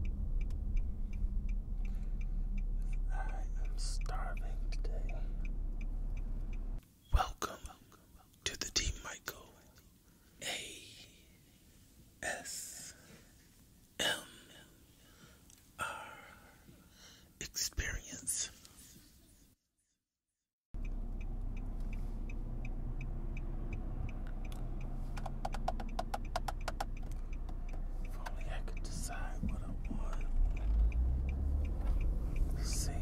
I am starving today. Welcome to the Team Michael A S M R experience. If only I could decide what I want. Let's see.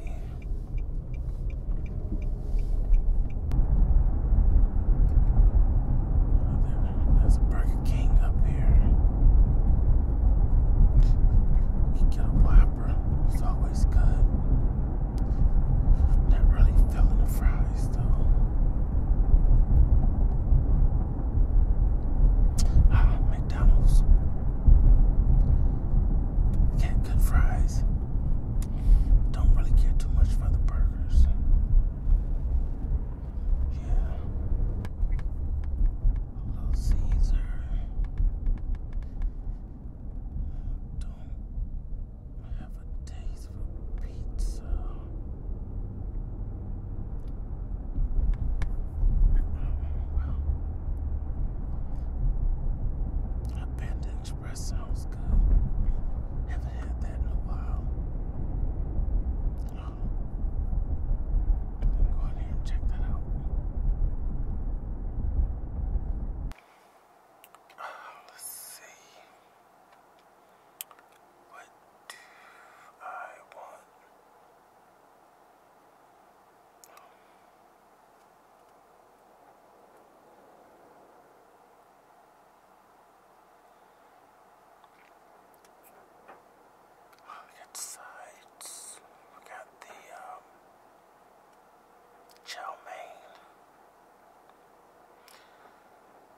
Oh, there's Burger King up here. get a Whopper, it's always good. Not really feeling the fries. Ah, McDonald's. Get good fries. Don't really care too much for the burgers. Yeah. Little Caesar. Don't have a taste size pizza. Express sounds good. have had that in a while. Um, go in and check that out. Oh, let's see. What do I want? Well, we sides. We got the um, chow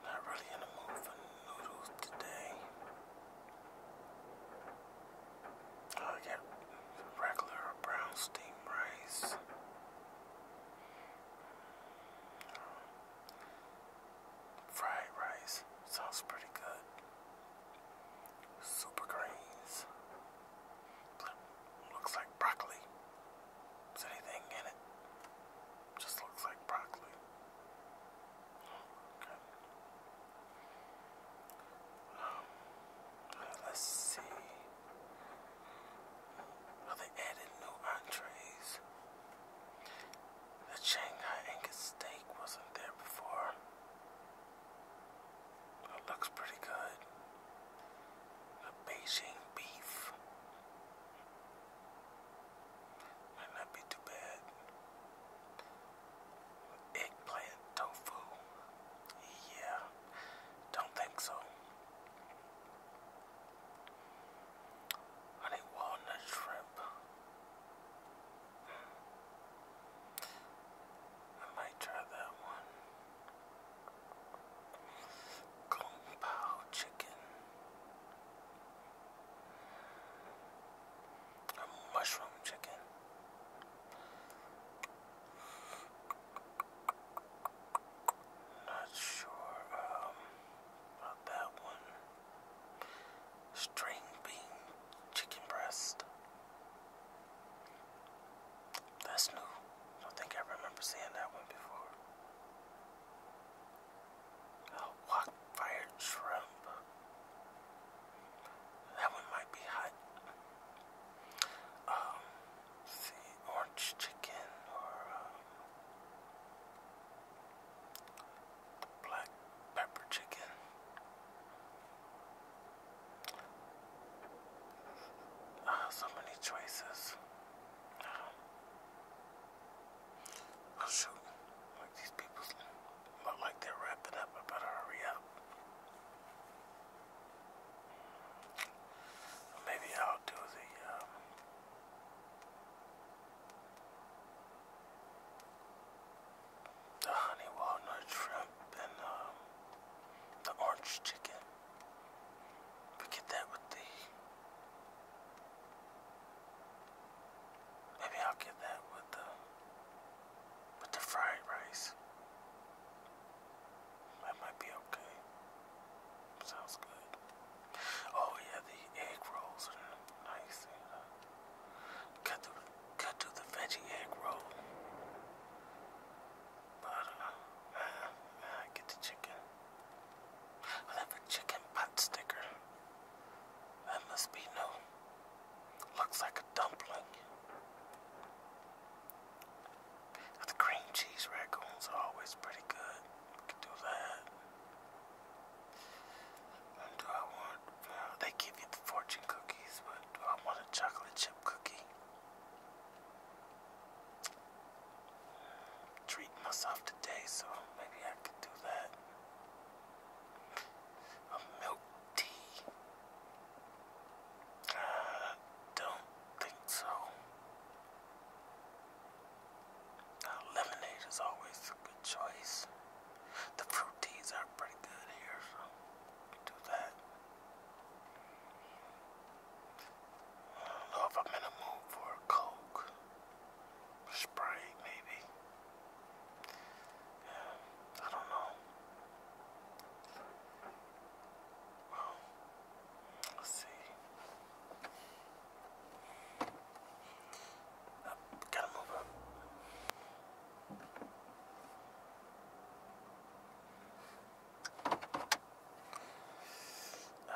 not really in the mood for noodles today. Oh, I get regular brown steamed rice. Fried rice sounds pretty good. Super greens. Looks like broccoli. Is anything in it? Just looks like broccoli let's see. they added new entrees. The Shanghai Angus steak wasn't there before. looks pretty good. The Beijing beef. Might not be too bad. Eggplant tofu. Yeah, don't think so. I need walnut shrimp. Hmm. I might try that one. Kung Pao chicken mushroom chicken. Not sure um, about that one. String bean chicken breast. That's new. I don't think I remember seeing that one before. Oh, walk fire shrimp. That one might be hot. Um, see, orange chicken or um, black pepper chicken. Uh, so many choices. Um, i Oh, shoot. Like these people look like they're wrapping up. I better hurry up. Maybe I'll do the. Um, the honey walnut shrimp and um, the orange chicken. We that with the Maybe I'll get that with the with the fried rice. That might be okay. Sounds good. Oh yeah, the egg rolls are nice. You know. the cut to the veggie egg roll. But uh, uh, I get the chicken. I'll a chicken pot sticker. That must be new. Looks like a dumpling. The cream cheese raccoons are always pretty good. Can do that. And do I want? they give you fortune cookies, but do I want a chocolate chip cookie? Hmm, Treat myself today, so maybe I could do that a milk tea? I uh, don't think so. Now, lemonade is always a good choice. The fruit teas are pretty good here, so we do that. I don't know if I'm in a mood for a Coke. Spray, maybe. I don't know. let's see. gotta move up. Uh,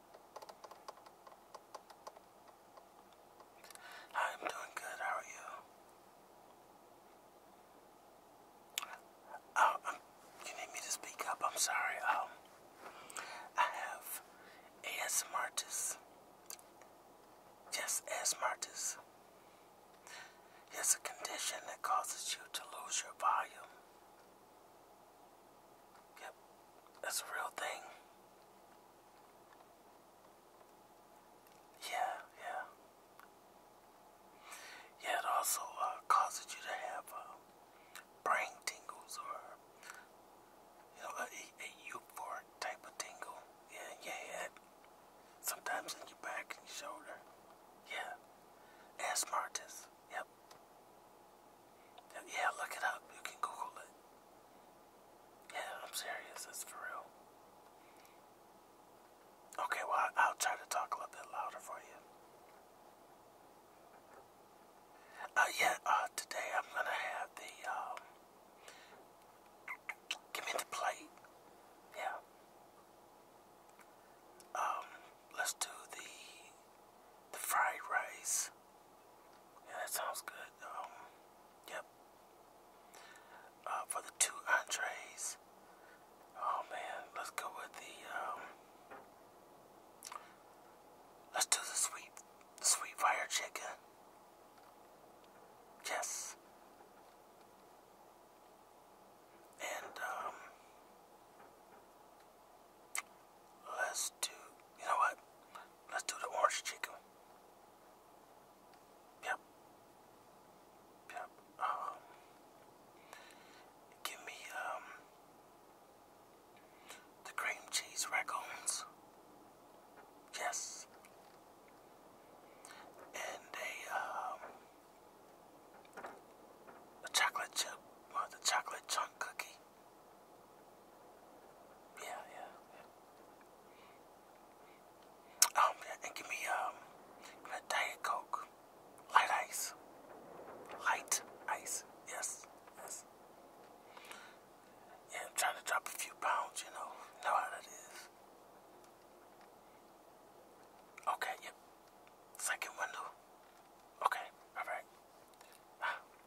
I'm doing good. How are you? Oh, um, you need me to speak up. I'm sorry. Um, I have ASM Yes, ASM It's a condition that causes you to lose your volume. Yep, that's a real thing. Yeah, yeah. Yeah, it also uh, causes you to have uh, brain tingles or, you know, a, euphoric type of tingle. Yeah, yeah, Sometimes in your back and your shoulder. Yeah. Asthmatics. Yep. Yeah, look it up. You can Google it. Yeah, I'm serious. It's for real. Okay, well, I'll try to talk a little bit louder for you. Uh, yeah, uh, today I'm gonna have the, um, give me the plate. Yeah. Um, let's do the, the fried rice. Yeah, that sounds good. yep. Uh, for the two entrees. Oh man, let's go with the um, let's do the sweet sweet fire chicken. Yes. And um, Let's do, you know what? Let's do the orange chicken. Yep. Yep. Um, give me um, the cream cheese raccoons. Yes. And a um, a chocolate chip or the chocolate chunk cookie. Yeah, yeah, um, yeah. and give me um, diet coke, light ice, light ice. Yes, yes. Yeah, I'm trying to drop a few pounds. You know, know how that is. Okay, yep. Second window. Okay, all right. Ah.